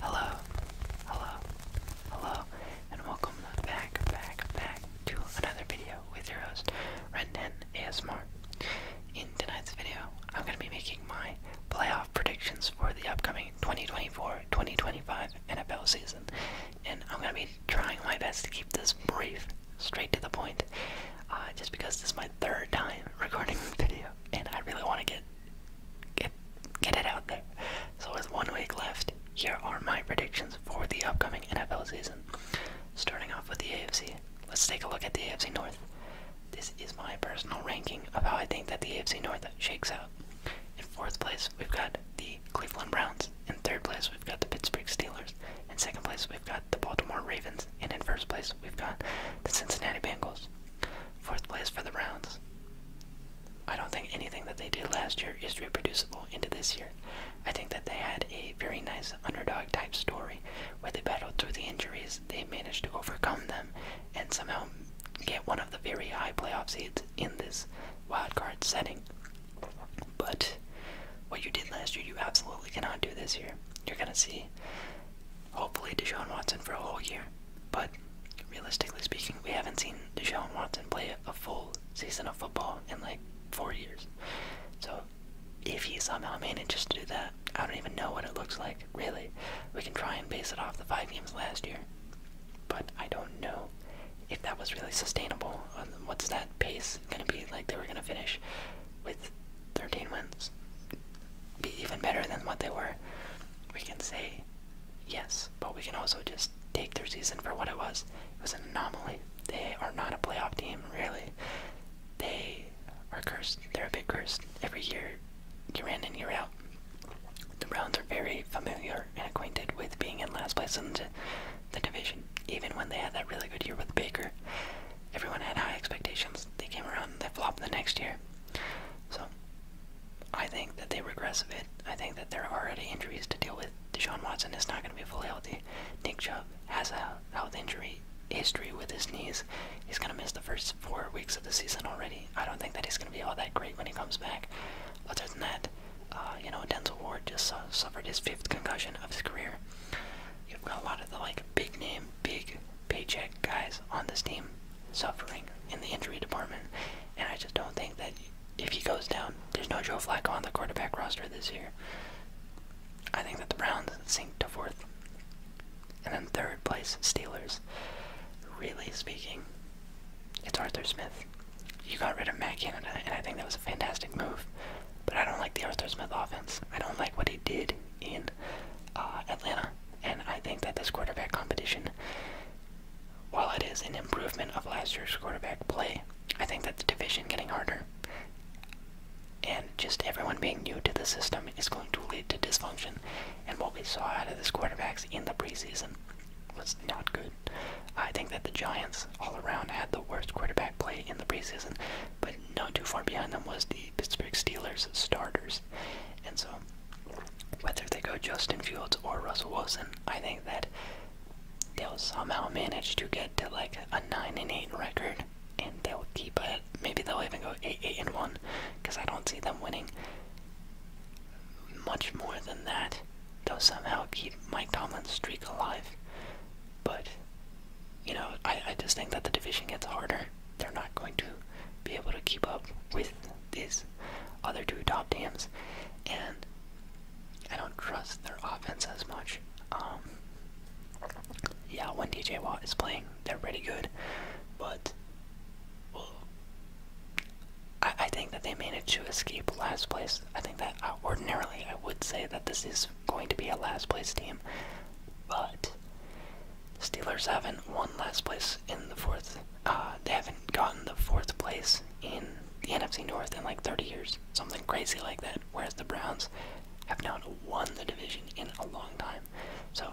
Hello, hello, hello, and welcome back, back, back to another video with your host, Rendan Asmar. In tonight's video, I'm going to be making my playoff predictions for the upcoming 2024-2025 NFL season, and I'm going to be trying my best to keep this brief, straight to the point, uh, just because this is my third time recording this video, and I really want to get Get get it out there. So with one week left, here are my predictions for the upcoming NFL season. Starting off with the AFC. Let's take a look at the AFC North. This is my personal ranking of how I think that the AFC North shakes out. In fourth place, we've got the Cleveland Browns. In third place, we've got the Pittsburgh Steelers. In second place, we've got the Baltimore Ravens. And in first place, we've got the Cincinnati Bengals. Fourth place for the Browns. I don't think anything that they did last year is reproducible into this year. I think that they had a very nice underdog type story where they battled through the injuries, they managed to overcome them, and somehow get one of the very high playoff seeds in this wildcard setting. But what you did last year, you absolutely cannot do this year. You're going to see hopefully Deshaun Watson for a whole year. But realistically speaking, we haven't seen Deshaun Watson play a full season of football in like four years. So if he somehow manages to do that, I don't even know what it looks like, really. We can try and base it off the five games last year. But I don't know if that was really sustainable. What's that pace going to be? Like, they were going to finish with 13 wins be even better than what they were, we can say yes, but we can also just take their season for what it was. It was an anomaly. They are not a playoff team, really. They are cursed. They're a bit cursed. Every year, year in and year out. The Browns are very familiar and acquainted with being in last place in the division, even when they had that really good year with Baker. Everyone had high expectations. They came around, they flopped the next year. So I think that they regress a bit. I think that there are already injuries to deal with. Deshaun Watson is not going to be fully healthy. Nick Chubb has a health injury history with his knees. He's going to miss the first four weeks of the season already. I don't think that he's going to be all that great when he comes back. Other than that, uh, you know, Denzel Ward just uh, suffered his fifth concussion of his career. You've got a lot of the like big name, big paycheck guys on this team suffering in the injury department, and I just don't think that if he goes down, there's no Joe Flacco on the quarterback roster this year. I think that the Browns sink to fourth. And then third place, Steelers. Really speaking, it's Arthur Smith. You got rid of Matt Canada, and I think that was a fantastic move. But I don't like the Arthur Smith offense. I don't like what he did in uh, Atlanta. And I think that this quarterback competition, while it is an improvement of last year's quarterback play, I think that the division getting harder and just everyone being new to the system is going to lead to dysfunction. And what we saw out of this quarterbacks in the preseason was not good. I think that the Giants all around had the worst quarterback play in the preseason, but not too far behind them was the Pittsburgh Steelers starters. And so, whether they go Justin Fields or Russell Wilson, I think that they'll somehow manage to get to like a nine and eight record, and they'll keep it. Maybe they'll even go eight eight and one, because I don't see them winning much more than that. They'll somehow keep Mike Tomlin's streak alive, but you know, I I just think that the division gets harder they're not going to be able to keep up with these other two top teams, and I don't trust their offense as much. Um, yeah, when DJ Watt is playing, they're pretty good, but I, think that they managed to escape last place. I think that uh, ordinarily I would say that this is going to be a last place team, but Steelers haven't won last place in the fourth. Uh, they haven't gotten the fourth place in the NFC North in like 30 years, something crazy like that. Whereas the Browns have not won the division in a long time. So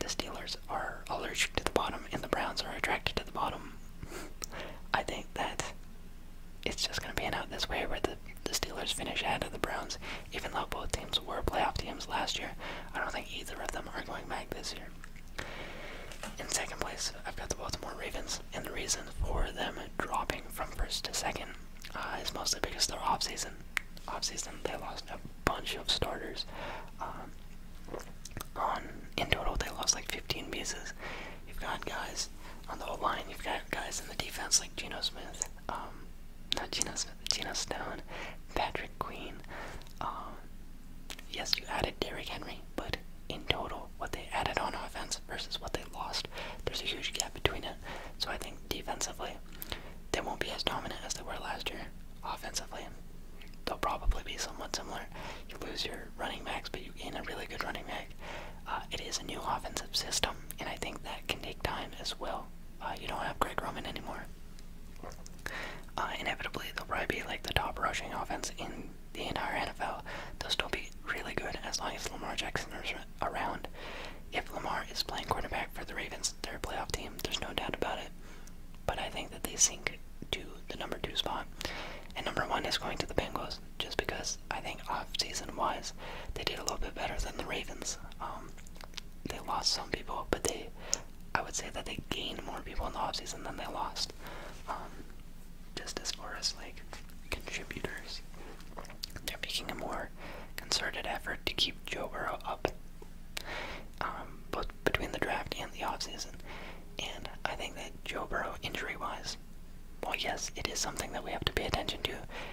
the Steelers are allergic to the bottom, and the Browns are attracted to the bottom. I think that it's just going to pan out this way where the, the Steelers finish ahead of the Browns, even though both teams were playoff teams last year. I don't think either of them are going in second place, I've got the Baltimore Ravens, and the reason for them dropping from first to second uh, is mostly because their off season, they lost a bunch of starters. Um, on in total, they lost like 15 pieces. You've got guys on the line. You've got guys in the defense like Geno Smith, um, not Geno Smith, Geno Stone, Patrick Queen, um, yes, you added Derrick Henry, but in total, what they added on offense versus what they lost, there's a huge gap between it. So I think defensively, they won't be as dominant as they were last year. Offensively, they'll probably be somewhat similar. You lose your running backs, but you gain a really good running back. Uh, it is a new offensive system, and I think that can take time as well. Uh, you don't have Greg Roman anymore. Uh, inevitably, they'll probably be like the top rushing offense in the entire NFL. They'll still be really good as long as Lamar Jackson is around. If Lamar is playing quarterback for the Ravens, they're a playoff team. There's no doubt about it. But I think that they sink to the number two spot. And number one is going to the Bengals, just because I think off-season-wise, they did a little bit better than the Ravens. Um, they lost some people, but they, I would say that they gained more people in the offseason than they lost. Um, just as far as like contributors, they're making a more concerted effort to keep Joe Burrow up, um, both between the draft and the offseason. And I think that Joe Burrow, injury wise, well, yes, it is something that we have to pay attention to.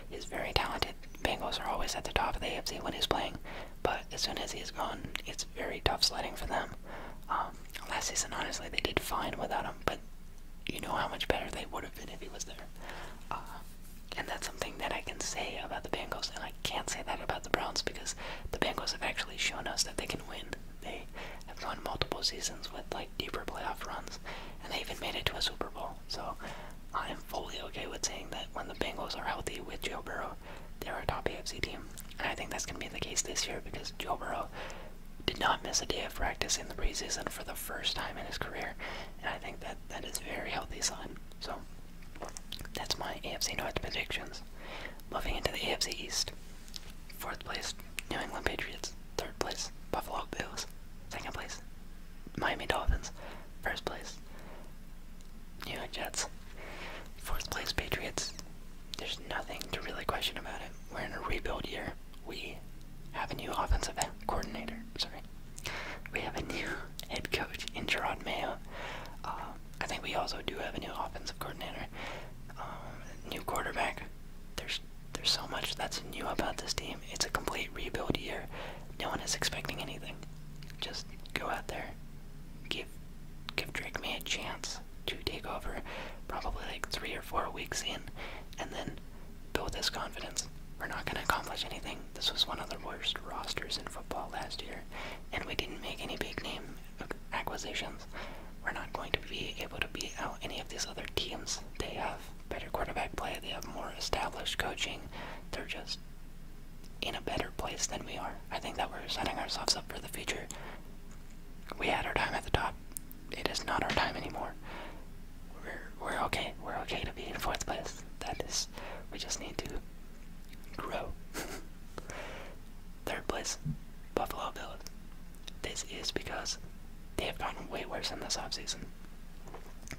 He's very talented. Bengals are always at the top of the AFC when he's playing. But as soon as he's gone, it's very tough sledding for them. Um, last season, honestly, they did fine without him, but you know how much better they would have been if he was there. Uh, and that's something that I can say about the Bengals, and I can't say that about the Browns because the Bengals have actually shown us that they can win. They have won multiple seasons with like deeper playoff runs, and they even made it to a Super Bowl. So I am fully okay with saying that when the Bengals are healthy with Joe Burrow they're a top AFC team. And I think that's going to be the case this year because Joe Burrow did not miss a day of practice in the preseason for the first time in his career. And I think that that is a very healthy sign. So that's my AFC North predictions. Moving into the AFC East. Fourth place, New England Patriots. Third place, Buffalo Bills. Second place, Miami Dolphins. First place, New York Jets. Fourth place Patriots. There's nothing to really question about it. We're in a rebuild year. We have a new offensive coordinator. Sorry. We have a new head coach in Gerard Mayo. Um, I think we also do have a new offensive coordinator. Um, new quarterback. There's there's so much that's new about this team. It's a complete rebuild year. No one is expecting anything. Just go out there, give give Drake me a chance to take over probably like three or four weeks in and then build this confidence. We're not going to accomplish anything. This was one of the worst rosters in football last year, and we didn't make any big name acquisitions. We're not going to be able to beat out any of these other teams. They have better quarterback play, they have more established coaching. They're just in a better place than we are. I think that we're setting ourselves up for the future. We had our time at the top. It is not our time anymore. We're we're okay. We're okay to be in fourth place. That is we just need to grow. Third place, Buffalo Bills. This is because they have gotten way worse in this offseason.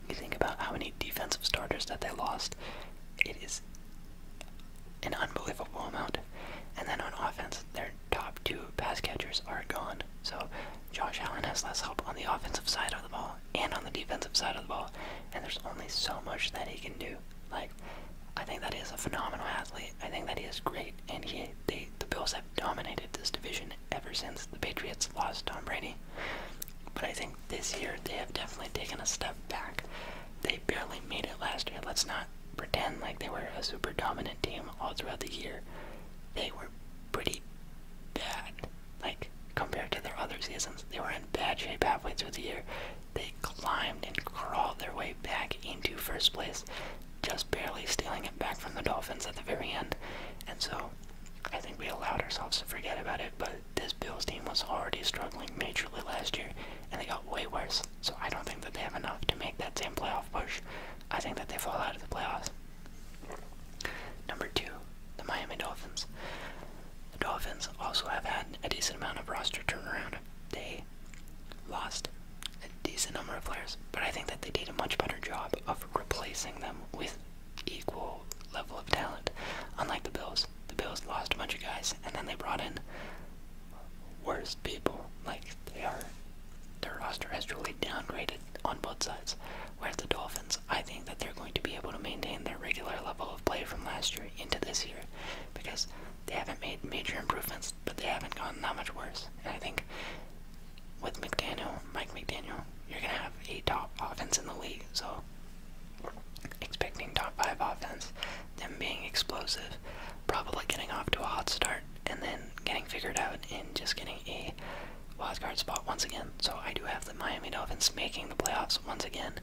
You think about how many defensive starters that they lost. It is an unbelievable amount. And then on offense, their top two pass catchers are gone. So Josh Allen has less help on the offensive side of the ball and on the defensive side of the ball. And there's only so much that he can do. Like, I think that he a phenomenal athlete. I think that he is great. And he, the Bills have dominated this division ever since the Patriots lost Tom Brady. But I think this year they have definitely taken a step back they barely made it last year. Let's not pretend like they were a super dominant team all throughout the year. They were pretty bad. Like, compared to their other seasons, they were in bad shape halfway through the year. They climbed and crawled their way back into first place, just barely stealing it back from the Dolphins at the very end. And so, I think we allowed ourselves to forget about it, but this Bills team was already struggling majorly last year, and they got way worse. So I don't think that they have enough to make that same playoff push. I think that they fall out of the playoffs. Number two, the Miami Dolphins. The Dolphins also have had a decent amount of roster turnaround. They lost a decent number of players, but I think that they did a much better job of replacing them with equal level of talent, unlike the Bills. Bills. The Bills lost a bunch of guys, and then they brought in worse people. Like they are, their roster has truly downgraded on both sides. Whereas the Dolphins, I think that they're going to be able to maintain their regular level of play from last year into this year, because they haven't made major improvements, but they haven't gone that much worse. And I think with McDaniel, Mike McDaniel, you're gonna have a top offense in the league. So expecting top five offense, them being explosive, probably getting off to a hot start, and then getting figured out and just getting a wild card spot once again. So I do have the Miami Dolphins making the playoffs once again,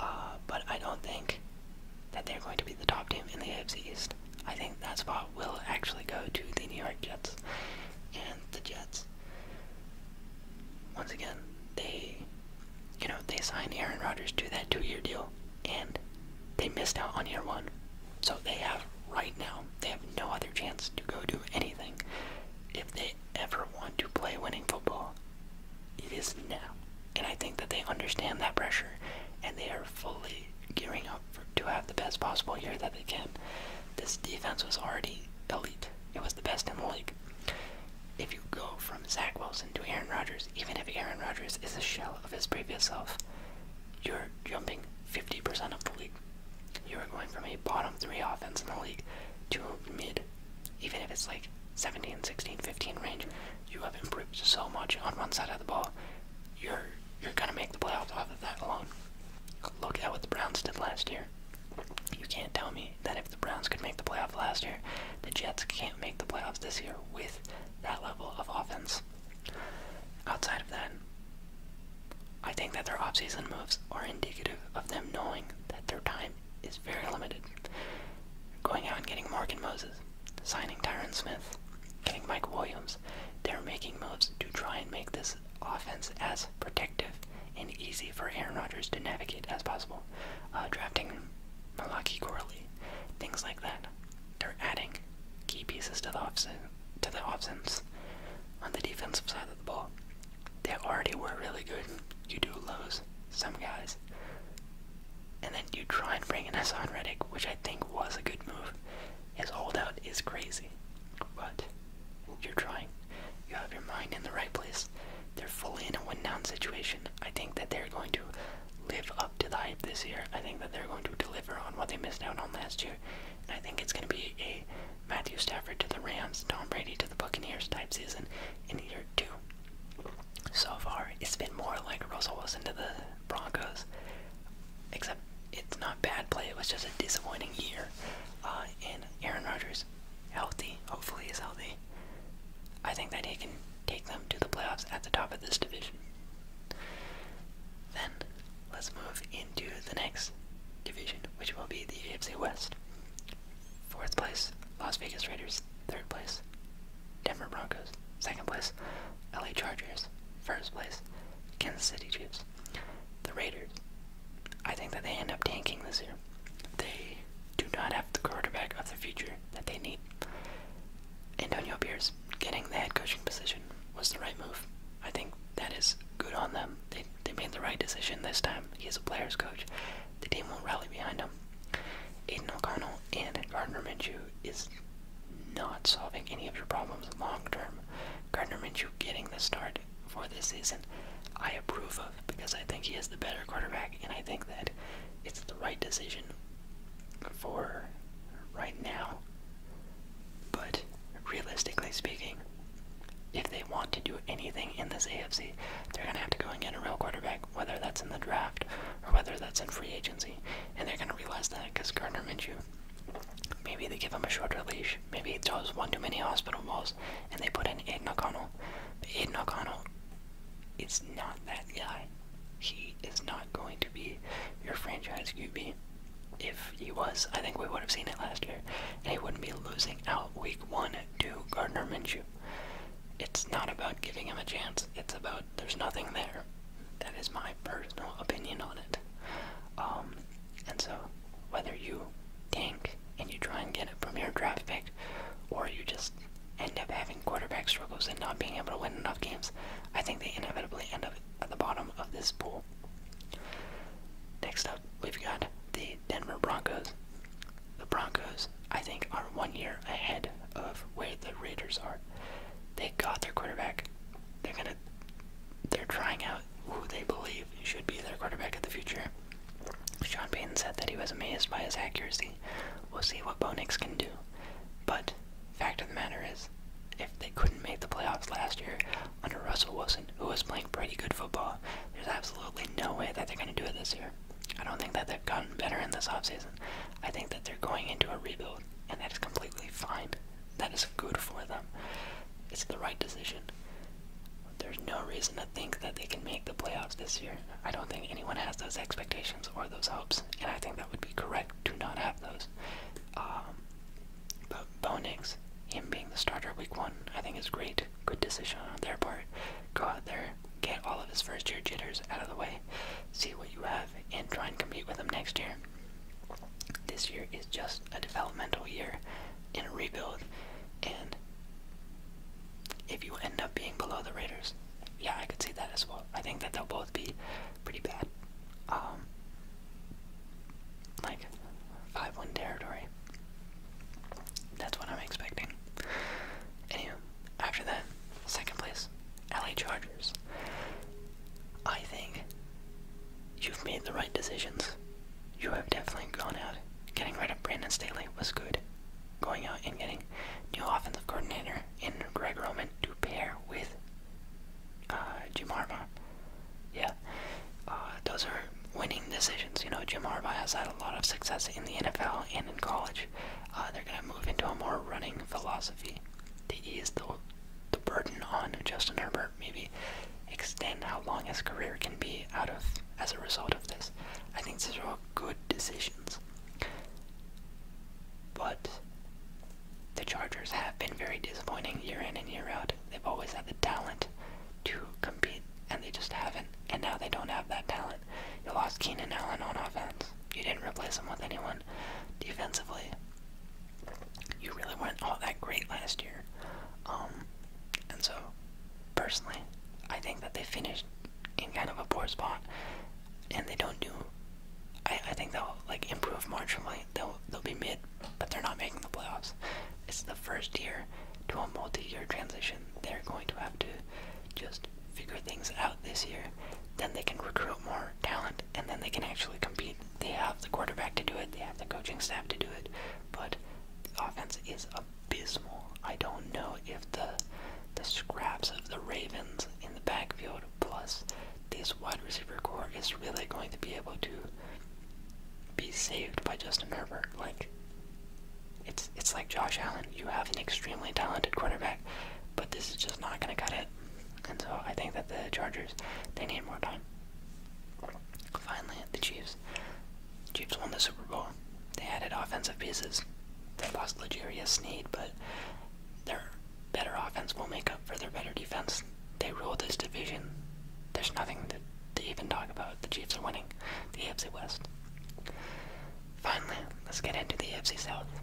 uh, but I don't think that they're going to be the top team in the AFC East. I think that spot will actually go to the New York Jets, and the Jets. Once again, they you know, they signed Aaron Rodgers to that two year deal and they missed out on year one. So they have right now, they have no other chance to go do anything. If they ever want to play winning football, it is now. And I think that they understand that pressure and they are fully gearing up to have the best possible year that they can. This defense was already elite. It was the best in the league if you go from Zach Wilson to Aaron Rodgers, even if Aaron Rodgers is a shell of his previous self, you're jumping 50% of the league. You are going from a bottom three offense in the league to a mid, even if it's like 17, 16, 15 range. You have improved so much on one side of the ball. You're you're gonna make the playoffs off of that alone. Look at what the Browns did last year. You can't tell me that if the Browns could make the playoffs last year, the Jets can't make the playoffs this year with that level of offense. Outside of that, I think that their offseason moves are indicative of them knowing that their time is very limited. Going out and getting Mark and Moses, signing Tyron Smith, getting Mike Williams, they're making moves to try and make this offense as protective and easy for Aaron Rodgers to navigate as possible. Uh, drafting Malaki Corley, things like that. They're adding key pieces to the offense, to the offense on the defensive side of the ball. They already were really good. You do lose some guys, and then you try and bring in Hassan Redick, which I think was a good move. His holdout is crazy, but you're trying. You have your mind in the right place. They're fully in a win-down situation. I think that they're going to live up to the hype this year. I think that they're going to deliver on what they missed out on last year. And I think it's going to be a Matthew Stafford to the Rams, Tom Brady to the Buccaneers type season in year two. So far, it's been more like Russell Wilson to the Broncos, except it's not bad play. It was just a disappointing year. Uh, and Aaron Rodgers, healthy, hopefully is healthy. I think that he can take them to the playoffs at the top of this division. Then let's move into the next division, which will be the AFC West. Fourth place, Las Vegas Raiders. Third place, Denver Broncos. Second place, LA Chargers. First place, Kansas City Chiefs. The Raiders. I think that they end up tanking this year. They do not have the quarterback of the future that they need. Antonio Pierce getting the head coaching position was the right move. I think that is good on them. They they made the right decision this time. He is a player's coach. The team will rally behind him. Aiden O'Connell and Gardner Minshew is not solving any of your problems long term. Gardner Minshew getting the start for this season, I approve of because I think he is the better quarterback, and I think that it's the right decision for right now. But realistically speaking, if they want to do anything in this AFC, they're going to have to go and get a real quarterback, whether that's in the draft or whether that's in free agency. And they're going to realize that because Gardner Minshew, maybe they give him a shorter leash, maybe he throws one too many hospital balls, and they put in Aiden O'Connell. But Aiden O'Connell it's not that guy. He is not going to be your franchise QB. If he was, I think we would have seen it last year. And he wouldn't be losing out week one to Gardner Minshew. It's not about giving him a chance. It's about there's nothing there. That is my personal opinion on it. Um, and so, whether you tank and you try and get it from your draft pick, or you just end up having quarterback struggles and not being able to win enough games, I think they inevitably end up at the bottom of this pool. Next up, we've got the Denver Broncos. The Broncos, I think, are one year ahead of where the Raiders are. They got their quarterback. They're gonna they're trying out who they believe should be their quarterback of the future. Sean Payton said that he was amazed by his accuracy We'll see what Bo Nix can do. But fact of the matter is, if they couldn't make the playoffs last year under Russell Wilson, who was playing pretty good football, there's absolutely no way that they're going to do it this year. I don't think that they've gotten better in this offseason. I think that they're going into a rebuild, and that is completely fine. That is good for them. It's the right decision. There's no reason to think that they can make the playoffs this year. I don't think anyone has those expectations or those hopes, and I think that would be correct to not have those. Um, but Bo him being the starter week one, I think is great. Good decision on their part. Go out there, get all of his first year jitters out of the way, see what you have, and try and compete with him next year. This year is just a developmental year and a rebuild, and if you end up being below the Raiders, yeah, I could see that as well. I think that they'll both be pretty bad. Um, like, 5 1 territory. That's what I'm expecting. Anywho, after that, second place, LA Chargers. I think you've made the right decisions. You have definitely gone out. Getting rid of Brandon Staley was good. Going out and getting new offensive coordinator Flair and Greg Roman to pair with uh, Jim Harbaugh. Yeah, uh, those are winning decisions. You know, Jim Harbaugh has had a lot of success in the NFL and in college. Uh, they're going to move into a more running philosophy to ease the, the burden on Justin Herbert, maybe extend how long his career can be out of as a result of this. I think these are all good decisions. But the Chargers have been very disappointing year in and year out. They've always had the talent to compete, and they just haven't. And now they don't have that talent. You lost Keenan Allen on offense. You didn't replace him with anyone defensively. You really weren't all that great last year. Um, and so, personally, I think that they finished in kind of a poor spot, and they don't do. I, I think they'll like improve marginally. They'll they'll be mid, but they're not making the playoffs. It's the first year to a multi-year transition. They're going to have to just figure things out this year. Then they can recruit more talent, and then they can actually compete. They have the quarterback to do it. They have the coaching staff to do it, but the offense is abysmal. I don't know if the the scraps of the Ravens in the backfield plus this wide receiver core is really going to be able to be saved by Justin Herbert. Like it's it's like Josh Allen. You have an extremely talented quarterback, but this is just not gonna cut it. And so I think that the Chargers they need more time. Finally, the Chiefs. Chiefs won the Super Bowl. They added offensive pieces. They lost Legarius Sneed, but their better offense will make up for their better defense. They rule this division. There's nothing to, even talk about. The Chiefs are winning the AFC West. Finally, let's get into the AFC South.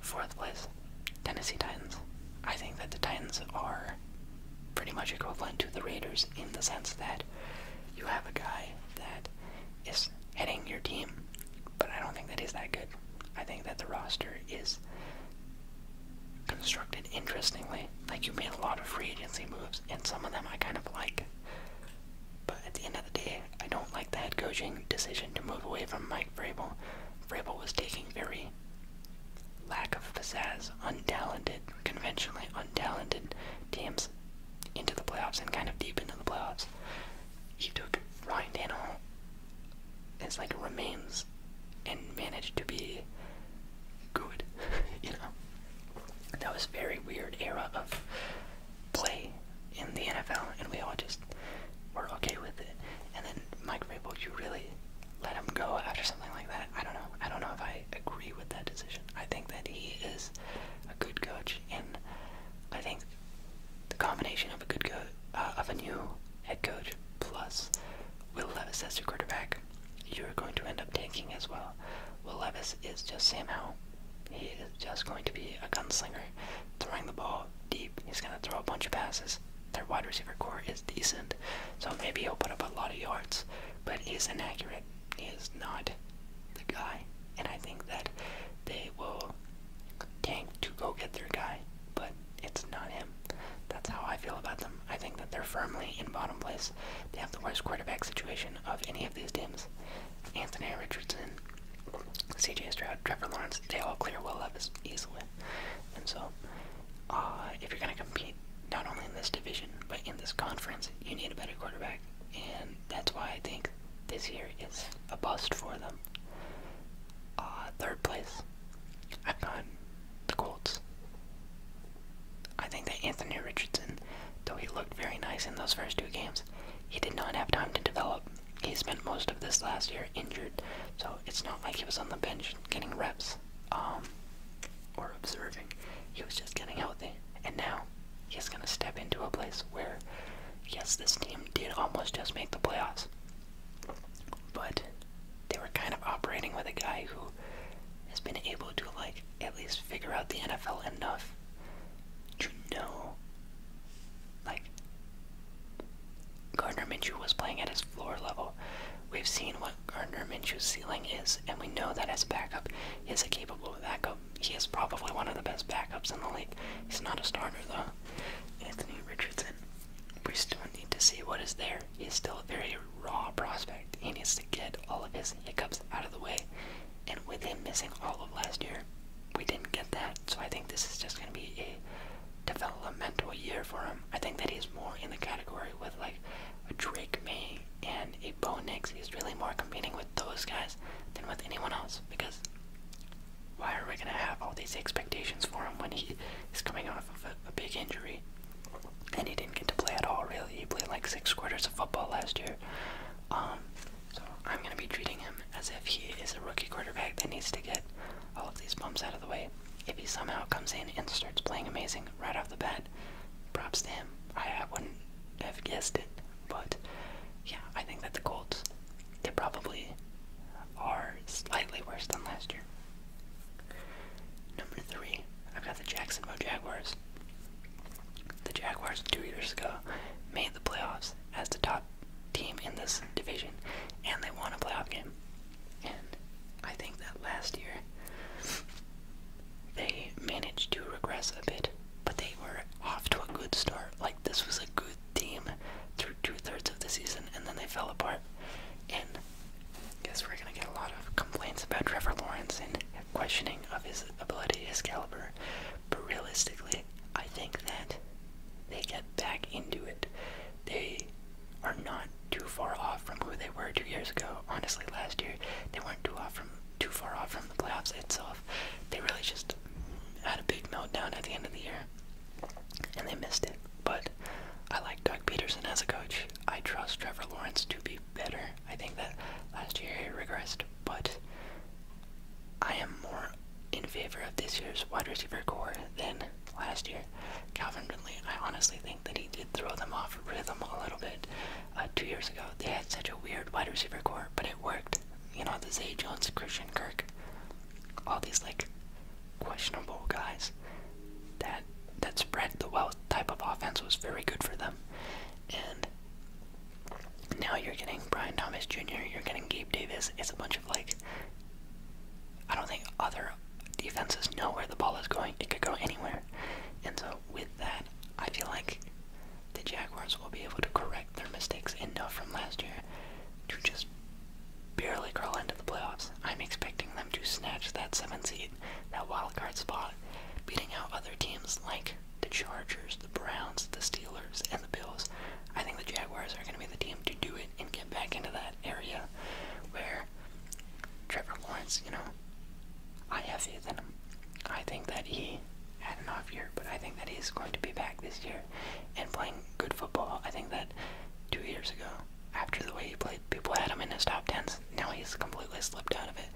Fourth place, Tennessee Titans. I think that the Titans are pretty much equivalent to the Raiders in the sense that you have a guy that is heading your team, but I don't think that is that good. I think that the roster is constructed interestingly. Like you made a lot of free agency moves, and some of them I kind of like. But at the end of the day, I don't like the head coaching decision to move away from Mike Vrabel. Vrabel was taking very lack of pizzazz, untalented, conventionally untalented teams into the playoffs and kind of deep into the playoffs he took Ryan Tannehill as like remains and managed to be good. you know, that was a very weird era of play in the NFL, and we all just were okay with it. And then Mike Rabel, you really let him go after something like that. I don't know. I don't know if I agree with that decision. I think that he is a good coach, and I think the combination of a good uh, of a new head coach plus Will Levis as your quarterback, you're going to end up tanking as well. Will Levis is just Sam Howell. He is just going to be a gunslinger, throwing the ball deep. He's going to throw a bunch of passes. Their wide receiver core is decent, so maybe he'll put up a lot of yards, but he's inaccurate. He is not the guy, and I think that they will tank to go get their guy, but it's not him. That's how I feel about them. I think that they're firmly in bottom place. They have the worst quarterback situation of any of these teams. Anthony Richardson, CJ Stroud, Trevor Lawrence, they all clear Will Levis easily. And so, uh, if you're going to compete not only in this division, but in this conference, you need a better quarterback. And that's why I think this year is a bust for them. Uh, third place, I've got the Colts. I think that Anthony Richardson, though he looked very nice in those first two games, he did not have time to develop. He spent most of this last year injured, so it's not like he was on the bench getting reps um, or observing. He was just getting healthy. And now he's going to step into a place where, yes, this team did almost just make the playoffs, but they were kind of operating with a guy who has been able to, like, at least figure out the NFL enough to know, like, Gardner Minshew was playing at his floor level. We've seen what Gardner Minshew's ceiling is, and we know that as a backup, he is capable of that he is probably one of the best backups in the league. He's not a starter though. Anthony Richardson. We still need to see what is there. He's still a very raw prospect. He needs to get all of his hiccups out of the way. And with him missing all of last year, we didn't get that. So I think this is just going to be a developmental year for him. I think that he's more in the category with like Drake May and a Nix. He's really more competing with those guys than with anyone else because why are we going to have all these expectations for him when he is coming off of a, a big injury? And he didn't get to play at all, really. He played like six quarters of football last year. Um, so I'm going to be treating him as if he is a rookie quarterback that needs to get all of these bumps out of the way. If he somehow comes in and starts playing amazing right off the bat, props to him. I, I wouldn't have guessed it. But yeah, I think that the Colts they probably are slightly worse than last year. Number three, I've got the Jacksonville Jaguars. The Jaguars two years ago made the playoffs as the top team in this division, and they won a playoff game. And I think that last year they managed to regress a bit but they were off to a good start. Like this was a good team through two thirds of the season, and then they fell apart. And I guess we're gonna get a lot of complaints about Trevor Lawrence and questioning of his ability, his caliber. But realistically, I think that they get back into it. They are not too far off from who they were two years ago. Honestly, last year they weren't too off from too far off from the playoffs itself off. They really just had a big meltdown at the end of the year, and they missed it. But I like Doug Peterson as a coach. I trust Trevor Lawrence to be better. I think that last year he regressed, but I am more in favor of this year's wide receiver core than last year. Calvin Ridley, I honestly think that he did throw them off rhythm a little bit. Uh, two years ago, they had such a weird wide receiver core, but it worked you know, the Zay Jones, Christian Kirk, all these like questionable guys that that spread the wealth type of offense was very good for them. And now you're getting Brian Thomas Jr., you're getting Gabe Davis. It's a bunch of like I don't think other defenses know where the ball is going. It could go anywhere. And so with that, I feel like the Jaguars will be able to correct their mistakes enough from last year to just barely crawl into the playoffs. I'm expecting them to snatch that seventh seed, that wild card spot, beating out other teams like the Chargers, the Browns, the Steelers, and the Bills. I think the Jaguars are going to be the team to do it and get back into that area where Trevor Lawrence, you know, I have faith in him. I think that he had an off year, but I think that he's going to be back this year and playing good football. I think that two years ago, after the way he played, people had him in his top tens. Now he's completely slipped out of it.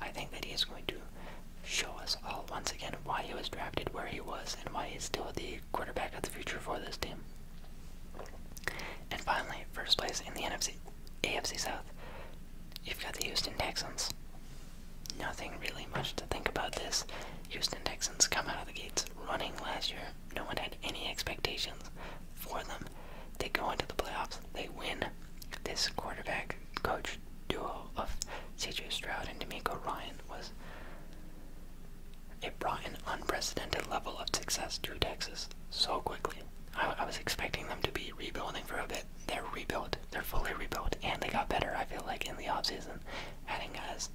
I think that he is going to show us all once again why he was drafted where he was and why he's still the quarterback of the future for this team. And finally, first place in the NFC, AFC South, you've got the Houston Texans. Nothing really much to think about this. Houston Texans come out of the gates running last year. No one had any expectations for them. They go into the playoffs, they win. This quarterback coach duo of CJ Stroud and D'Amico Ryan was. It brought an unprecedented level of success to Texas so quickly. I, I was expecting them to be rebuilding for a bit. They're rebuilt. They're fully rebuilt, and they got better. I feel like in the offseason, adding guys.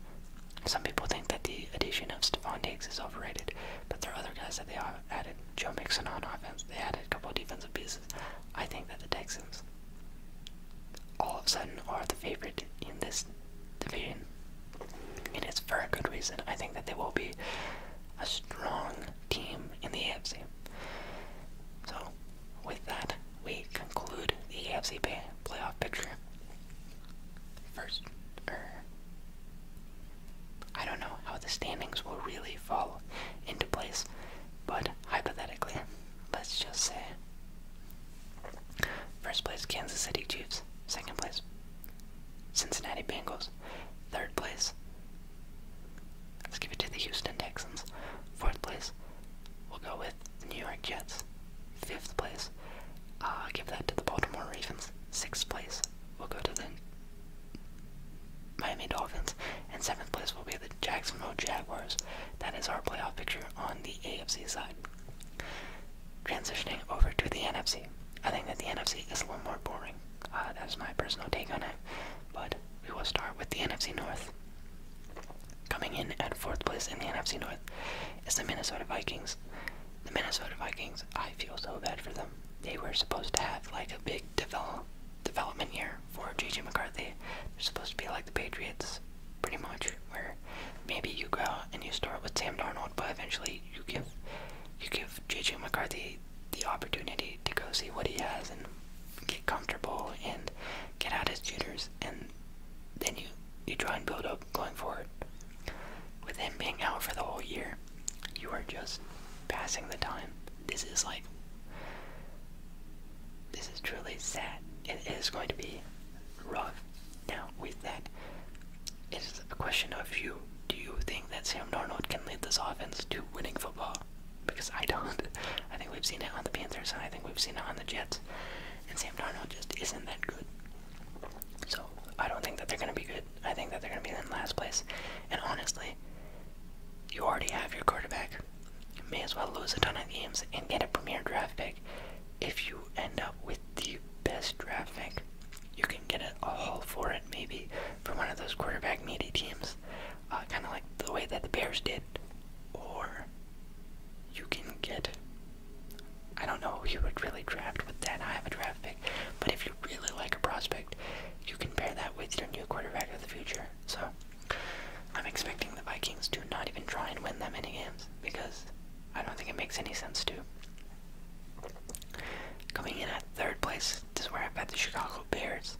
Some people think that the addition of Stephon Diggs is overrated, but there are other guys that they added. Joe Mixon on offense, they added a couple of defensive pieces. I think that the Texans all of a sudden are the favorite in this division. It is for a good reason. I think that they will be a strong team in the AFC. So, with that, we conclude the AFC playoff picture. First, er, I don't know how the standings will really fall into place, but hypothetically, let's just say first place Kansas City Chiefs, second place Cincinnati Bengals, third place. Let's give it to the Houston Texans. Fourth place, we'll go with New York Jets. Fifth place. Uh, give that to the Baltimore Ravens. Sixth place we will go to the Miami Dolphins. And seventh place will be the Jacksonville Jaguars. That is our playoff picture on the AFC side. Transitioning over to the NFC. I think that the NFC is a little more boring. Uh, that is my personal take on it. But we will start with the NFC North. Coming in at fourth place in the NFC North is the Minnesota Vikings. The Minnesota Vikings, I feel so bad for them. They were supposed to have like a big development year for JJ McCarthy. They're supposed to be like the Patriots, pretty much, where maybe you go and you start with Sam Darnold, but eventually you give you give JJ McCarthy the opportunity to go see what he has and get comfortable and get out his jitters and then you you try and build up going forward. With him being out for the whole year, you are just passing the time. This is like this is truly sad. It is going to be rough. Now with that, it's a question of you. Do you think that Sam Darnold can lead this offense to winning football? Because I don't. I think we've seen it on the Panthers I think we've seen it on the Jets and Sam Darnold just isn't that good. So I don't think that they're going to be good. I think that they're going to be in last place. And honestly, you already have your quarterback. may as well lose a ton of games and get a premier draft pick. If you end up with the best draft pick, you can get a, a haul for it maybe for one of those quarterback needy teams, uh, kind of like the way that the Bears did, or you can get. I don't know who you would really draft with that. I have a draft pick, but if you really like a prospect, you can pair that with your new quarterback of the future. So, I'm expecting the Vikings to not even try and win that many games because I don't think it makes any sense to. Coming in at third place, this is where I've got the Chicago Bears.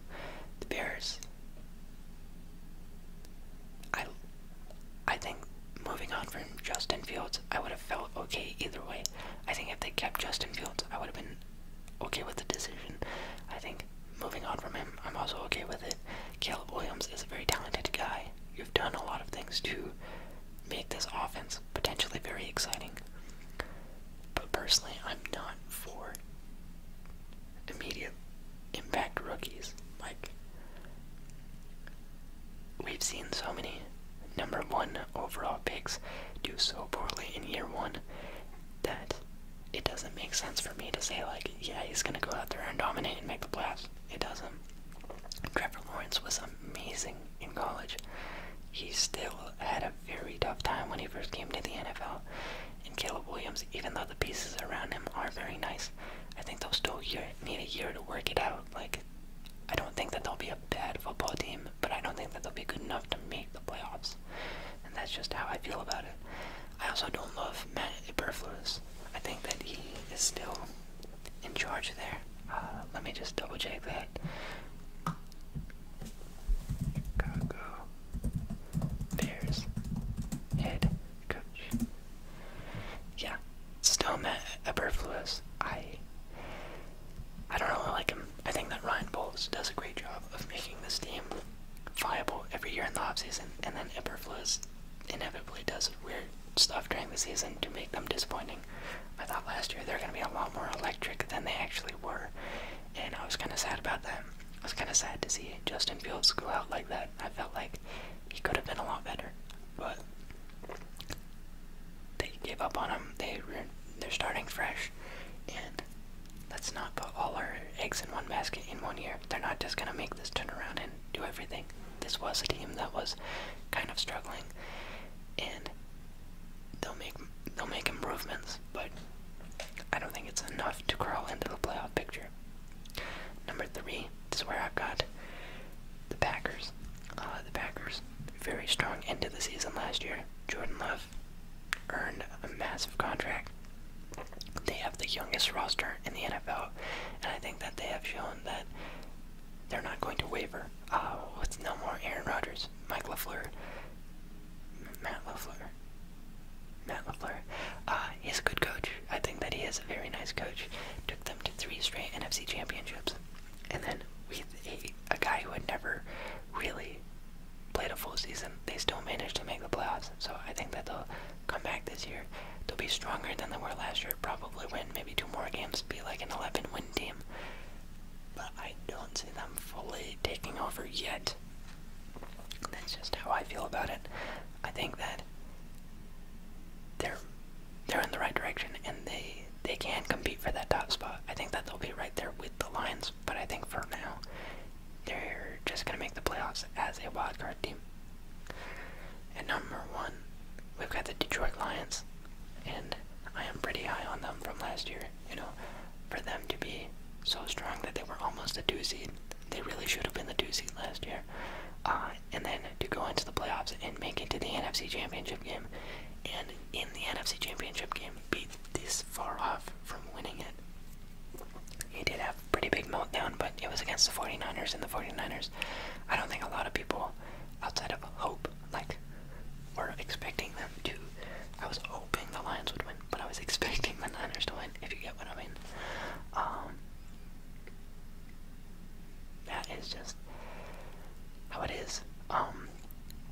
The Bears I I think moving on from Justin Fields, I would have felt okay either way. I think if they kept Justin Fields, I would have been okay with the decision. I think moving on from him, I'm also okay with it. Caleb Williams is a very talented guy. You've done a lot of things to make this offense potentially very exciting. But personally, I'm not for immediate impact rookies. Like, we've seen so many number one overall picks do so poorly in year one that it doesn't make sense for me to say, like, yeah, he's gonna go out there and dominate and make the playoffs. It doesn't. Trevor Lawrence was amazing in college. He still had a very tough time when he first came to the NFL. And Caleb Williams, even though the pieces around him are very nice, I think they'll still need a year to work it out. Like, I don't think that they'll be a bad football team, but I don't think that they'll be good enough to make the playoffs. And that's just how I feel about it. I also don't love Matt Eberflus. I think that he is still in charge there. Uh, let me just double check that. Chicago Bears head coach. Yeah, Stone Eberfluus. I I don't really like him. I think that Ryan Bowles does a great job of making this team viable every year in the offseason, and then Eberfluus inevitably does weird stuff during the season to make them disappointing. I thought last year they were going to be a lot more electric than they actually were, and I was kind of sad about that. I was kind of sad to see Justin Fields go out like that. I felt like he could have been a lot better, but they gave up on him. They they're starting fresh, and let's not put all our eggs in one basket in one year. They're not just gonna make this turnaround and do everything. This was a team that was kind of struggling, and they'll make they'll make improvements, but I don't think it's enough to crawl into the playoff picture. Number three, is where I've got the Packers. Uh, the Packers, very strong end of the season last year. Jordan Love earned a massive contract. They have the youngest roster in the NFL, and I think that they have shown that they're not going to waver. Uh, with no more Aaron Rodgers, Mike Lefleur, Matt Lefleur, Matt Lefleur Uh, he's a good coach. I think that he is a very nice coach. Took them to three straight NFC championships. And then with a, a guy who had never really played a full season, they still managed to make the playoffs. So I think that they'll come back this year. They'll be stronger than they were last year. Probably win maybe two more games, be like an 11 win team. But I don't see them fully taking over yet. That's just how I feel about it. I think that they're they're in the right direction and they they can compete for that top spot. I think that they'll be right there with the Lions, but I think for now they're just gonna make the playoffs as a wild card team. At number one, we've got the Detroit Lions, and I am pretty high on them from last year. You know, for them to be so strong that they were almost a two seed, they really should have been the two seed last year. Uh, and then to go into the playoffs and make it to the NFC Championship game, and in the NFC Championship game, be this far off from winning it. He did have a pretty big meltdown, but it was against the 49ers, and the 49ers, I don't think a lot of people outside of hope, like, were expecting them to. I was hoping the Lions would win, but I was expecting the Niners to win, if you get what I mean. Um, that is just how it is. Um,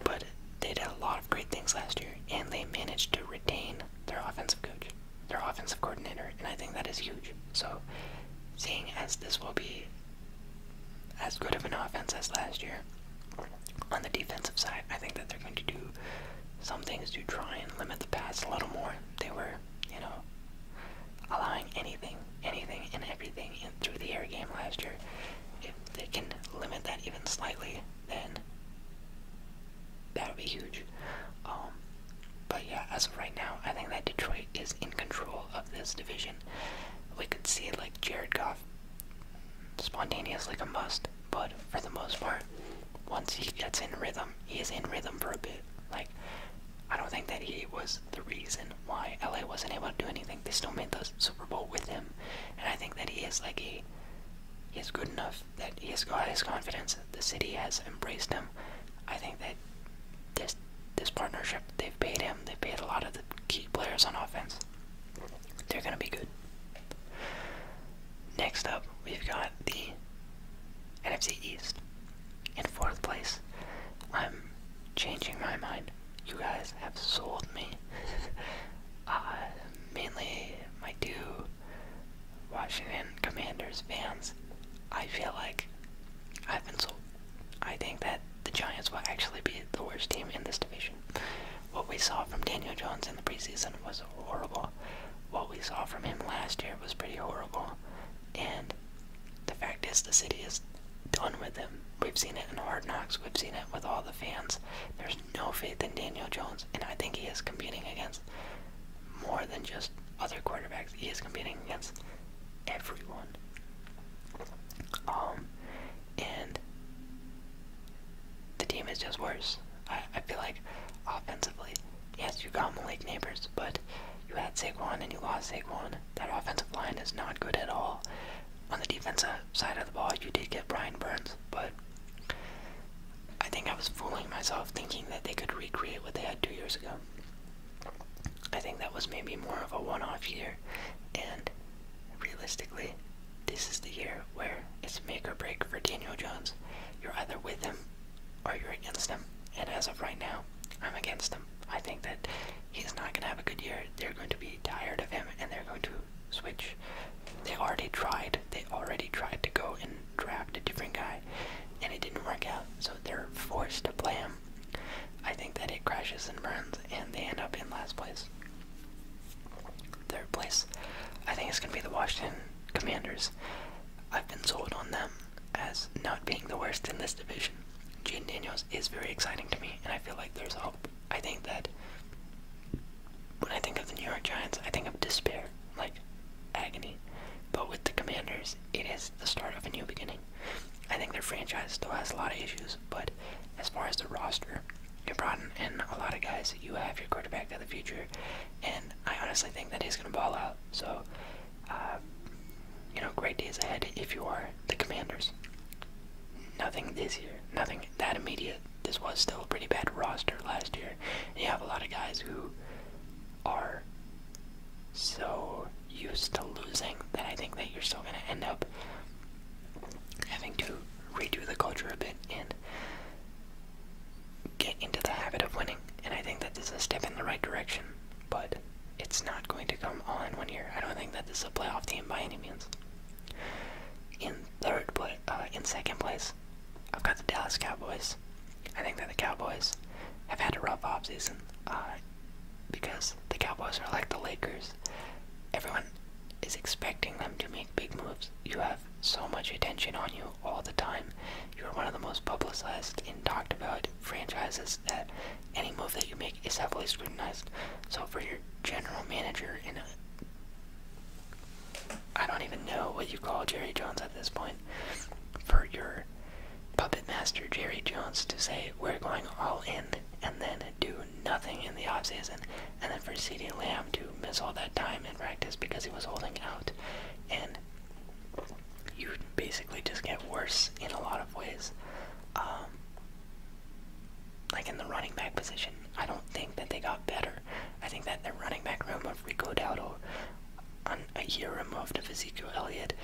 but they did a lot of great things last year, and they managed to retain their offensive coach, their offensive coordinator, and I think that is huge. So, seeing as this will be as good of an offense as last year, on the defensive side, I think that they're going to do some things to try and limit the pass a little more. They were you know, allowing anything, anything and everything in, through the air game last year. If they can limit that even slightly, then that would be huge. Um, but yeah, as of right now, I think that Detroit is in control of this division. We could see like Jared Goff spontaneously combust, but for the most part, once he gets in rhythm, he is in rhythm for a bit. Like I don't think that he was the reason why LA wasn't able to do anything. They still made the Super Bowl with him, and I think that he is like he is good enough that he has got his confidence. The city has embraced him. I think that this this partnership they've paid him. They have paid a lot of the key players on offense. They're gonna be good. Next up, we've got the NFC East. In fourth place, I'm changing my mind. You guys have sold me. uh, mainly my two Washington Commanders fans. I feel like I've been sold. I think that the Giants will actually be the worst team in this division. What we saw from Daniel Jones in the preseason was horrible. What we saw from him last year was pretty horrible. And the fact is, the city is done with him. We've seen it in Hard Knocks. We've seen it with all the fans. There's no faith in Daniel Jones, and I think he is competing against more than just other quarterbacks. He is competing against everyone. Um, and the team is just worse. I, I feel like offensively, yes, you got Malik Neighbors, but you had Saquon and you lost Saquon. That offensive line is not good at all. On the defensive side of the ball, you did get Brian Burns, but I think I was fooling myself thinking that they could recreate what they had two years ago. I think that was maybe more of a one off year, and realistically, this is the year where it's make or break for Daniel Jones. You're either with him are you against them? And as of right now, I'm against them. I think that he's not going to have a good year. They're going to be tired of him and they're going to switch. They already tried. They already tried to go and draft a different guy and it didn't work out. So they're forced to play him. I think that it crashes and burns and they end up in last place. Third place, I think it's going to be the Washington Commanders. I've been sold on them as not being the worst in this division. Gene Daniels is very exciting to me, and I feel like there's hope. I think that when I think of the New York Giants, I think of despair, like agony. But with the Commanders, it is the start of a new beginning. I think their franchise still has a lot of issues, but as far as the roster, you brought in a lot of guys. You have your quarterback of the future, and I honestly think that he's going to ball out. So uh, you know, great days ahead if you are the Commanders. Nothing is here, nothing that immediate. This was still a pretty bad roster last year. you have a lot of guys who are so used to losing that I think that you're still going to end up having to redo the culture a bit and get into the habit of winning. And I think that this is a step in the right direction but it's not going to come all in one year. I don't think that this is a playoff team by any means. In third, place, uh, in second place, I've got the Dallas Cowboys. I think that the Cowboys have had a rough off season uh, because the Cowboys are like the Lakers. Everyone is expecting them to make big moves. You have so much attention on you all the time, you're one of the most publicized and talked about franchises that any move that you make is heavily scrutinized. So for your general manager and I don't even know what you call Jerry Jones at this point. For your puppet master Jerry Jones to say we're going all in and then do nothing in the off season, and then for CeeDee Lamb to miss all that time in practice because he was holding out, and you basically just get worse in a lot of ways. Um, like in the running back position, I don't think that they got better. I think that their running back room of Rico Dowdle, on a year removed of Ezekiel Elliott,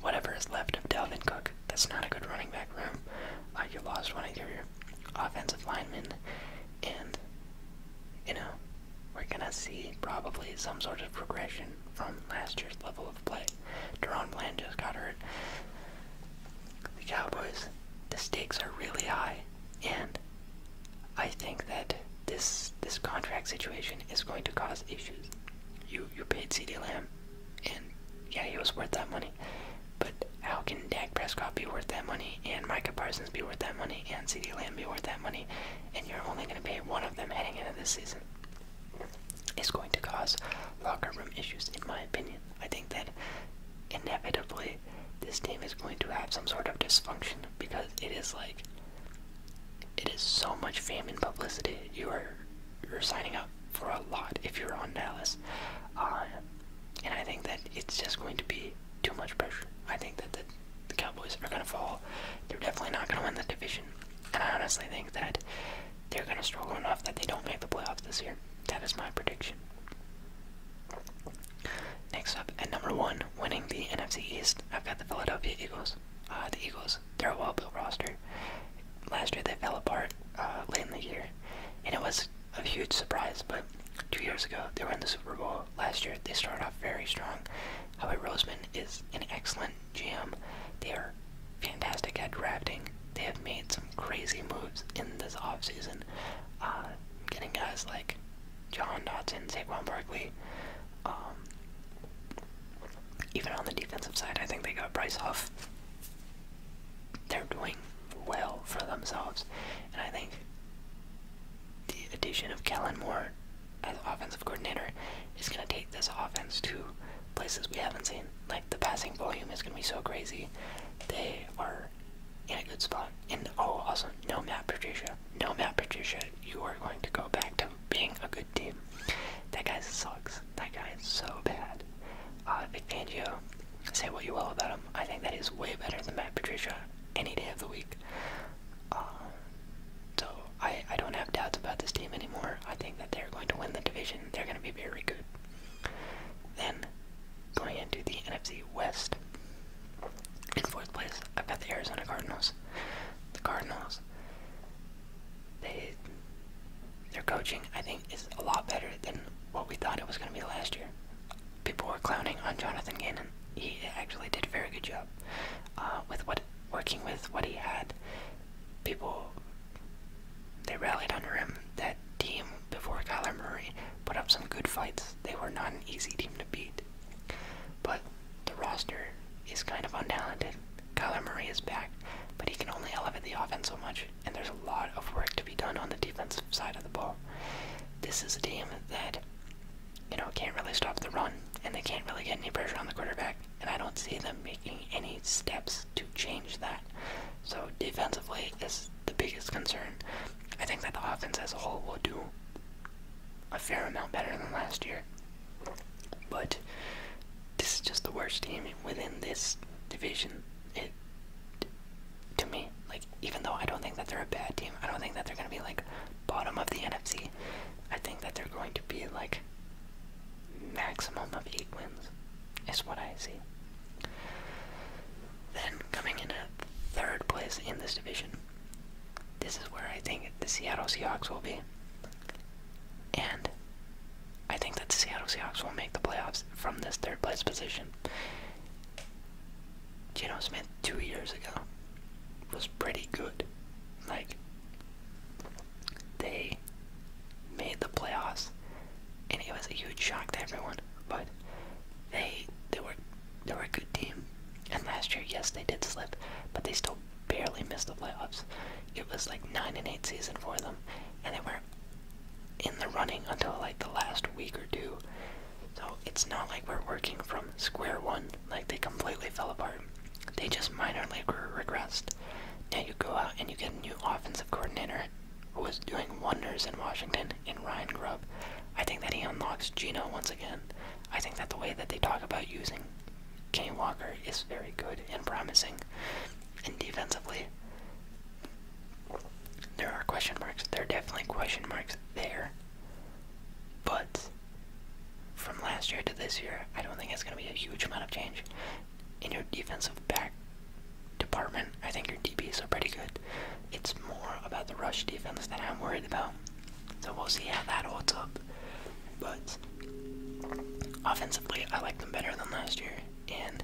whatever is left of Dalvin Cook, that's not a good running back room. Uh, you lost one of your offensive linemen, and you know we're going to see probably some sort of progression from last year's level of play. Deron Blan just got hurt. The Cowboys, the stakes are really high, and I think that this this contract situation is going to cause issues. You you paid CD Lamb, and yeah, he was worth that money. But how can Dak Prescott be worth that money, and Mike Parsons be worth that money, and CD Lamb be worth that money, and you're only going to pay one of them heading into this season, is going to cause locker room issues, in my opinion. I think that inevitably this team is going to have some sort of dysfunction because it is like it is so much fame and publicity. You are you're signing up for a lot if you're on Dallas, uh, and I think that it's just going to be too much pressure. I think that the the Cowboys are going to fall. They're definitely not going to win the division. And I honestly think that they're going to struggle enough that they don't make the playoffs this year. That is my prediction. Next up, at number one, winning the NFC East, I've got the Philadelphia Eagles. Uh, the Eagles, they're a well built roster. Last year they fell apart uh, late in the year, and it was a huge surprise, but two years ago they won the Super Bowl. Last year they started off very strong, Howie Roseman is an excellent GM. They are fantastic at drafting. They have made some crazy moves in this offseason. Uh, getting guys like John Dodson, Saquon Barkley. Um, even on the defensive side, I think they got Bryce Huff. They're doing well for themselves. And I think the addition of Kellen Moore as offensive coordinator is going to take this offense to places we haven't seen. Like the passing volume is going to be so crazy. They are in a good spot. And oh, also, no Matt Patricia. No Matt Patricia. You are going to go back to being a good team. That guy sucks. That guy is so bad. Uh, Vic Fangio, say what you will about him. I think that is way better than Matt Patricia any day of the week. Uh, so I, I don't have doubts about this team anymore. I think that they're going to win the division. They're going to be very good. Then, going into the NFC West, in fourth place, I've got the Arizona Cardinals. The Cardinals, they, their coaching, I think, is a lot better than what we thought it was going to be last year. People were clowning on Jonathan Gannon. He actually did a very good job uh, with what working with what he had, people they rallied under him. That team before Kyler Murray put up some good fights. They were not an easy team to beat. But the roster is kind of untalented. Kyler Murray is back, but he can only elevate the offense so much, and there's a lot of work to be done on the defensive side of the ball. This is a team that you know, can't really stop the run, and they can't really get any pressure on the quarterback, and I don't see them making any steps to change that. So defensively is the biggest concern. I think that the offense as a whole will do a fair amount better than last year. But this is just the worst team within this division. It to me, like even though I don't think that they're a bad team, I don't think that they're gonna be like bottom of the NFC, I think that they're going to be like maximum of eight wins, is what I see. Then coming in at third place in this division, this is where I think the Seattle Seahawks will be. And I think that the Seattle Seahawks will make the playoffs from this third place position. Geno Smith two years ago was pretty good. Like, they made the playoffs, and it was a huge shock to everyone. But they they were they were a good team, and last year, yes, they did slip, but they still barely missed the playoffs. It was like nine and eight season for them, and they were in the running until like the last week or two. So it's not like we're working from square one like they completely fell apart. They just minorly regressed. Now you go out and you get a new offensive coordinator who is doing wonders in Washington in Ryan Grubb. I think that he unlocks Gino once again. I think that the way that they talk about using Kane Walker is very good and promising. And defensively, there are question marks. There are definitely question marks there. But from last year to this year. I don't think it's going to be a huge amount of change in your defensive back department. I think your DBs are pretty good. It's more about the rush defense that I'm worried about. So we'll see how that holds up. But offensively, I like them better than last year, and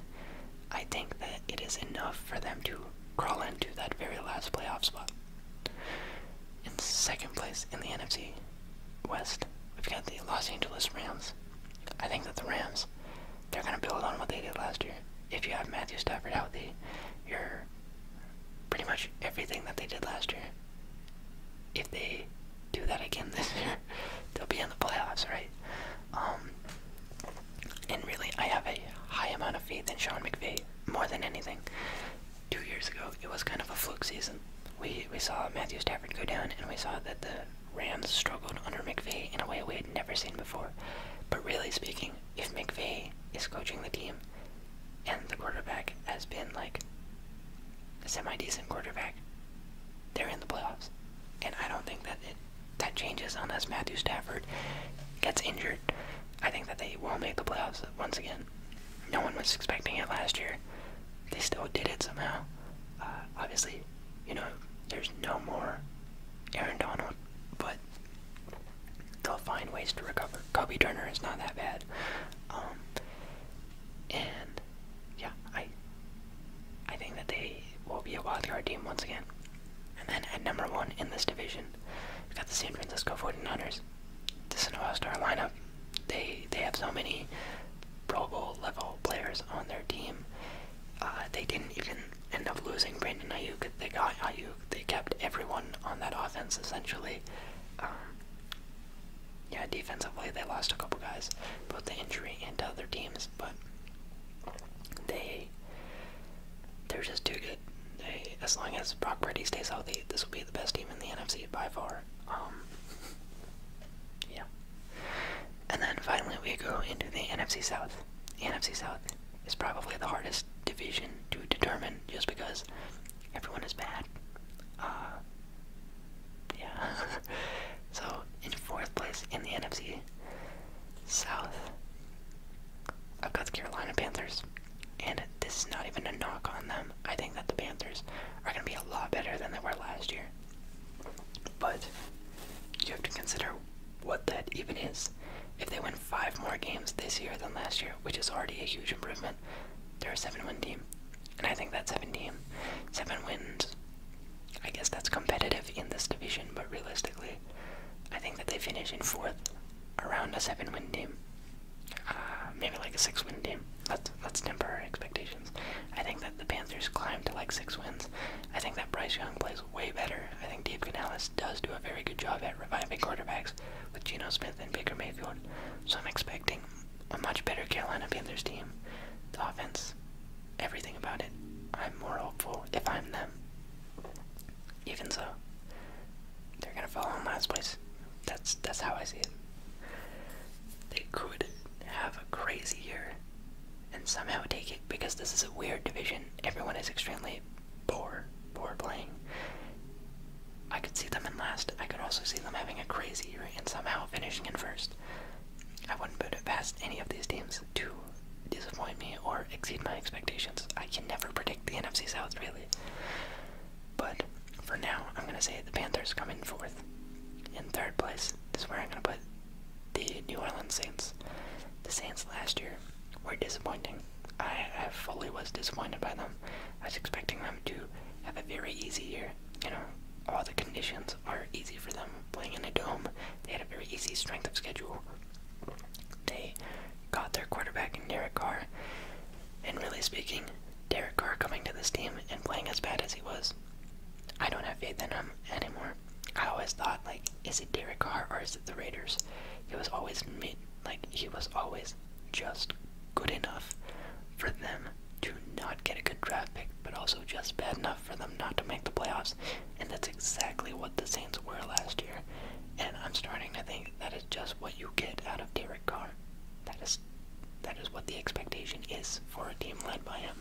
I think that it is enough for them to crawl into that very last playoff spot. In second place in the NFC West, we've got the Los Angeles Rams. I think that the Rams, they're going to build on what they did last year. If you have Matthew Stafford out, the, you're pretty much everything that they did last year. If they do that again this year, they'll be in the playoffs, right? Um, and really, I have a high amount of faith in Sean McVay more than anything two years ago, it was kind of a fluke season. We we saw Matthew Stafford go down, and we saw that the Rams struggled under McVay in a way we had never seen before. But really speaking, if McVay is coaching the team, and the quarterback has been like a semi-decent quarterback, they're in the playoffs, and I don't think that that changes unless Matthew Stafford gets injured. I think that they will make the playoffs once again. No one was expecting it last year they still did it somehow. Uh, obviously, you know, there's no more Aaron Donald, but they'll find ways to recover. Kobe Turner is not that bad. Um, and yeah, I I think that they will be a wildcard team once again. And then at number one in this division, we've got the San Francisco 49ers. This is an all-star lineup. They they have so many Pro Bowl level players on their team. Uh, they didn't even end up losing Brandon Ayuk. They got Ayuk. They kept everyone on that offense essentially. Um, yeah, defensively they lost a couple guys, both the injury and to other teams, but they they're just too good. as long as Brock Purdy stays healthy, this will be the best team in the NFC by far. Um, yeah. And then finally, we go into the NFC South. The NFC South is probably the hardest division to determine, just because everyone is bad. Uh, yeah. so in fourth place in the NFC South, I've got the Carolina Panthers, and this is not even a knock on them. I think that the Panthers are going to be a lot better than they were last year. But you have to consider what that even is. If they win five more games this year than last year, which is already a huge improvement, they're a seven-win team, and I think that seven team, seven wins. I guess that's competitive in this division, but realistically, I think that they finish in fourth around a seven-win team uh, maybe like a six win team. That's that's temporary expectations. I think that the Panthers climb to like six wins. I think that Bryce Young plays way better. I think Dave Canales does do a very good job at reviving quarterbacks with Geno Smith and Baker Mayfield. So I'm expecting a much better Carolina Panthers team. The offense, everything about it. I'm more hopeful if I'm them. Even so, they're gonna fall in last place. That's that's how I see it. They could have a crazy year and somehow take it because this is a weird division. Everyone is extremely poor, poor playing. I could see them in last. I could also see them having a crazy year and somehow finishing in first. I wouldn't put it past any of these teams to disappoint me or exceed my expectations. I can never predict the NFC South, really. But for now, I'm going to say the Panthers come in fourth. In third place is where I'm going to put the New Orleans Saints. The Saints last year were disappointing. I, fully was disappointed by them. I was expecting them to have a very easy year. You know, all the conditions are easy for them. Playing in a dome, they had a very easy strength of schedule. They got their quarterback in Derek Carr, and really speaking, Derek Carr coming to this team and playing as bad as he was, I don't have faith in him anymore. I always thought, like, is it Derek Carr or is it the Raiders? He was always mid, like, he was always just good enough for them to not get a good draft pick, but also just bad enough for them not to make the playoffs. And that's exactly what the Saints were last year. And I'm starting to think that is just what you get out of Derek Carr. That is that is what the expectation is for a team led by him.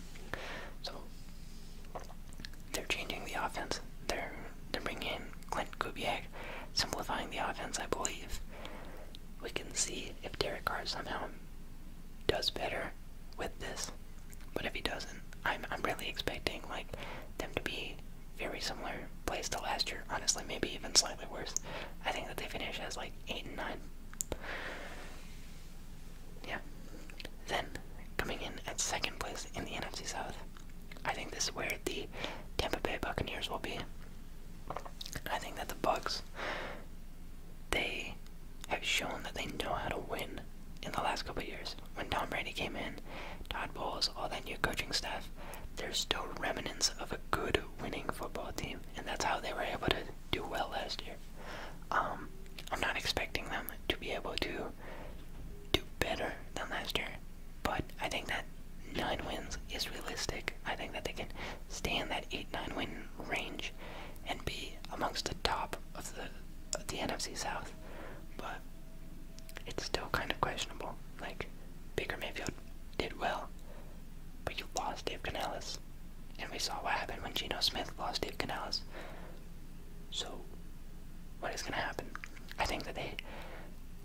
So they're changing the offense. They're they're bringing in Clint Kubiak, simplifying the offense. I believe we can see if Derek Carr somehow does better with this. But if he doesn't, I'm I'm really expecting like them to be very similar plays to last year. Honestly, maybe even slightly worse. I think that they finish as like eight and nine. Yeah. Then, coming in at second place in the NFC South, I think this is where the Tampa Bay Buccaneers will be. I think that the Bucks, they have shown that they know how to win in the last couple years. When Tom Brady came in, Todd Bowles, all that new coaching staff, there's still remnants of a good winning football team and that's how they were able to do well last year. Um, I'm not expecting them to be able to do better than last year, but I think that nine wins is realistic. I think that they can stay in that eight nine win range and be amongst the top of the the NFC South, but it's still kind of questionable. Like Baker Mayfield did well, but you lost Dave Canales. And we saw what happened when Gino Smith lost Dave Canales. So, what is going to happen? I think that they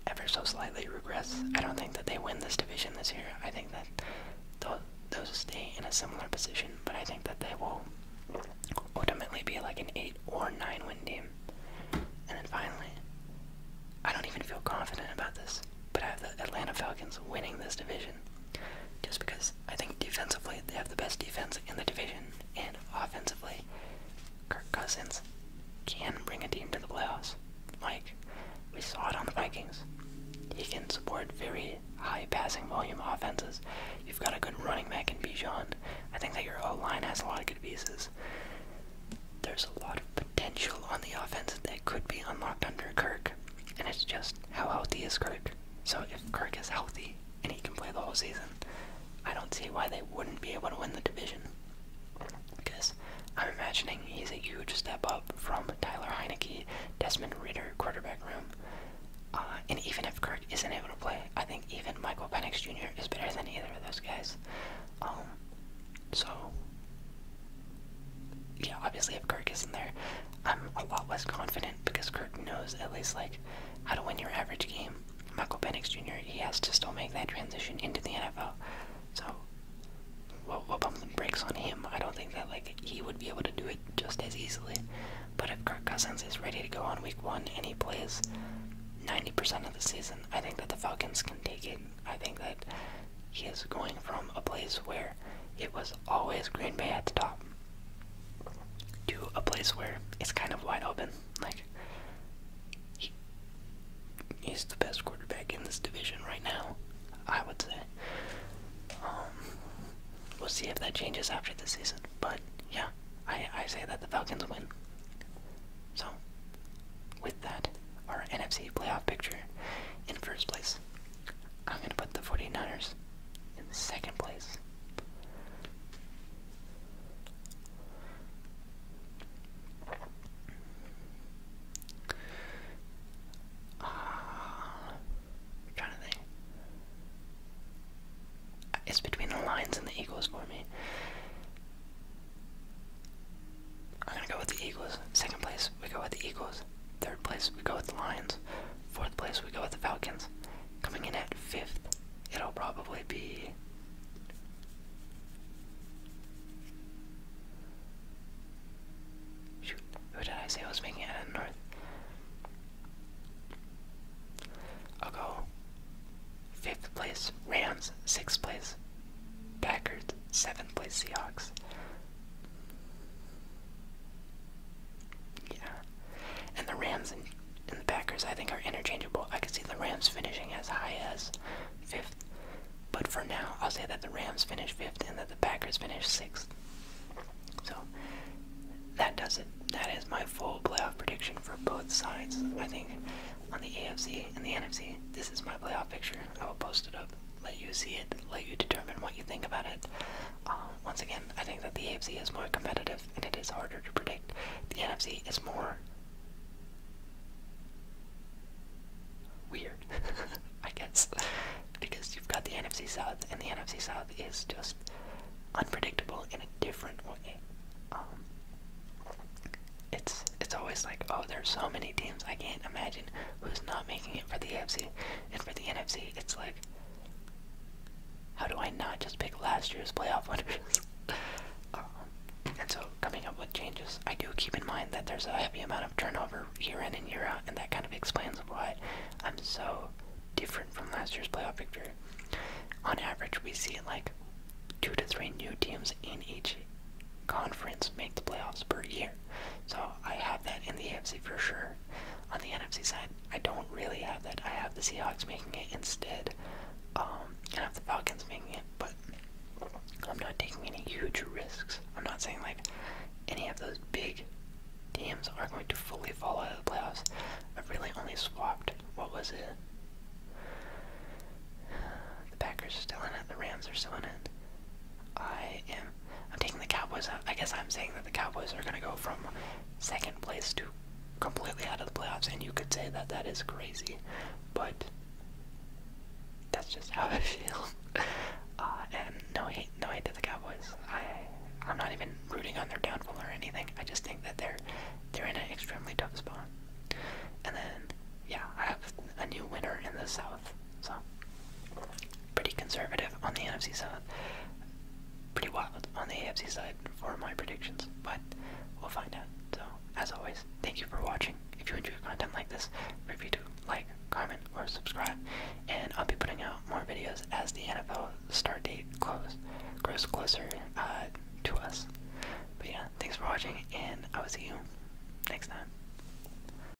ever so slightly regress. I don't think that they win this division this year. I think that they'll, stay in a similar position, but I think that they will ultimately be like an 8 or 9 win team. And then finally, I don't even feel confident about this but I have the Atlanta Falcons winning this division just because I think defensively they have the best defense in the division, and offensively, Kirk Cousins can bring a team to the playoffs. Like, we saw it on the Vikings. He can support very high passing volume offenses. You've got a good running back in Bijan. I think that your O line has a lot of good pieces. There's a lot of potential on the offense that could be unlocked under Kirk, and it's just how healthy is Kirk. So if Kirk is healthy and he can play the whole season, I don't see why they wouldn't be able to win the division. Because I'm imagining he's a huge step up from Tyler Heineke, Desmond Ritter, quarterback room. Uh, and even if Kirk isn't able to play, I think even Michael Penix Jr. is better than either of those guys. Um, so yeah, obviously if Kirk is in there, I'm a lot less confident because Kirk knows at least like how to win your average game. Michael Penix Jr. he has to still make that transition into the NFL. So we what we'll bump on him. I don't think that like he would be able to do it just as easily. But if Kirk Cousins is ready to go on week one and he plays 90% of the season, I think that the Falcons can take it. I think that he is going from a place where it was always Green Bay at the top to a place where it's kind of wide open. Like, he, he's the best quarterback in this division right now, I would say. Um, we'll see if that changes after the season. But yeah, I, I say that the Falcons win. So, with that, our NFC playoff picture in first place. I'm going to put the 49ers in second place. Uh, trying to think. It's between the Lions and the Eagles for me. I'm gonna go with the Eagles. Second place, we go with the Eagles. Third place, we go with the Lions. Fourth place, we go with the Falcons. Coming in at fifth, it'll probably be. Shoot, who did I say I was making it North? I'll go fifth place Rams, sixth place Packers, seventh place Seahawks, yeah. And the Rams and, the Packers, I think, are interchangeable. I can see the Rams finishing as high as fifth. But for now, I'll say that the Rams finish fifth and that the Packers finish sixth. So that does it. That is my full playoff prediction for both sides. I think on the AFC and the NFC, this is my playoff picture. I will post it up let you see it, let you determine what you think about it. Um, once again, I think that the AFC is more competitive and it is harder to predict. The NFC is more weird, I guess, because you've got the NFC South, and the NFC South is just unpredictable in a different way. Um, it's it's always like, oh, there's so many teams. I can't imagine 15, who's not making it for the AFC. And for the NFC, it's like, how do I not just pick last year's playoff winners? um, and so, coming up with changes, I do keep in mind that there's a heavy amount of turnover year in and year out, and that kind of explains why I'm so different from last year's playoff victory. On average, we see like two to three new teams in each conference make the playoffs per year. So I have that in the AFC for sure. On the NFC side, I don't really have that. I have the Seahawks making it instead. Um, and I have the Falcons making it, but I'm not taking any huge risks. I'm not saying like any of those big teams are going to fully fall out of the playoffs. I've really only swapped what was it? The Packers are still in it, the Rams are still in it. I am I'm taking the Cowboys. I guess I'm saying that the Cowboys are going to go from second place to completely out of the playoffs, and you could say that that is crazy, but that's just how I feel. Uh, and no hate, no hate to the Cowboys. I, I'm not even rooting on their downfall or anything. I just think that they're they're in an extremely tough spot. And then, yeah, I have a new winner in the South. So, pretty conservative on the NFC side. Pretty wild on the AFC side for my predictions, but we'll find out. So, as always, thank you for watching. If you enjoy content like this, review to like, comment, or subscribe. And I'll be putting out more videos as the NFL start date close, grows closer uh, to us. But yeah, thanks for watching, and I will see you next time.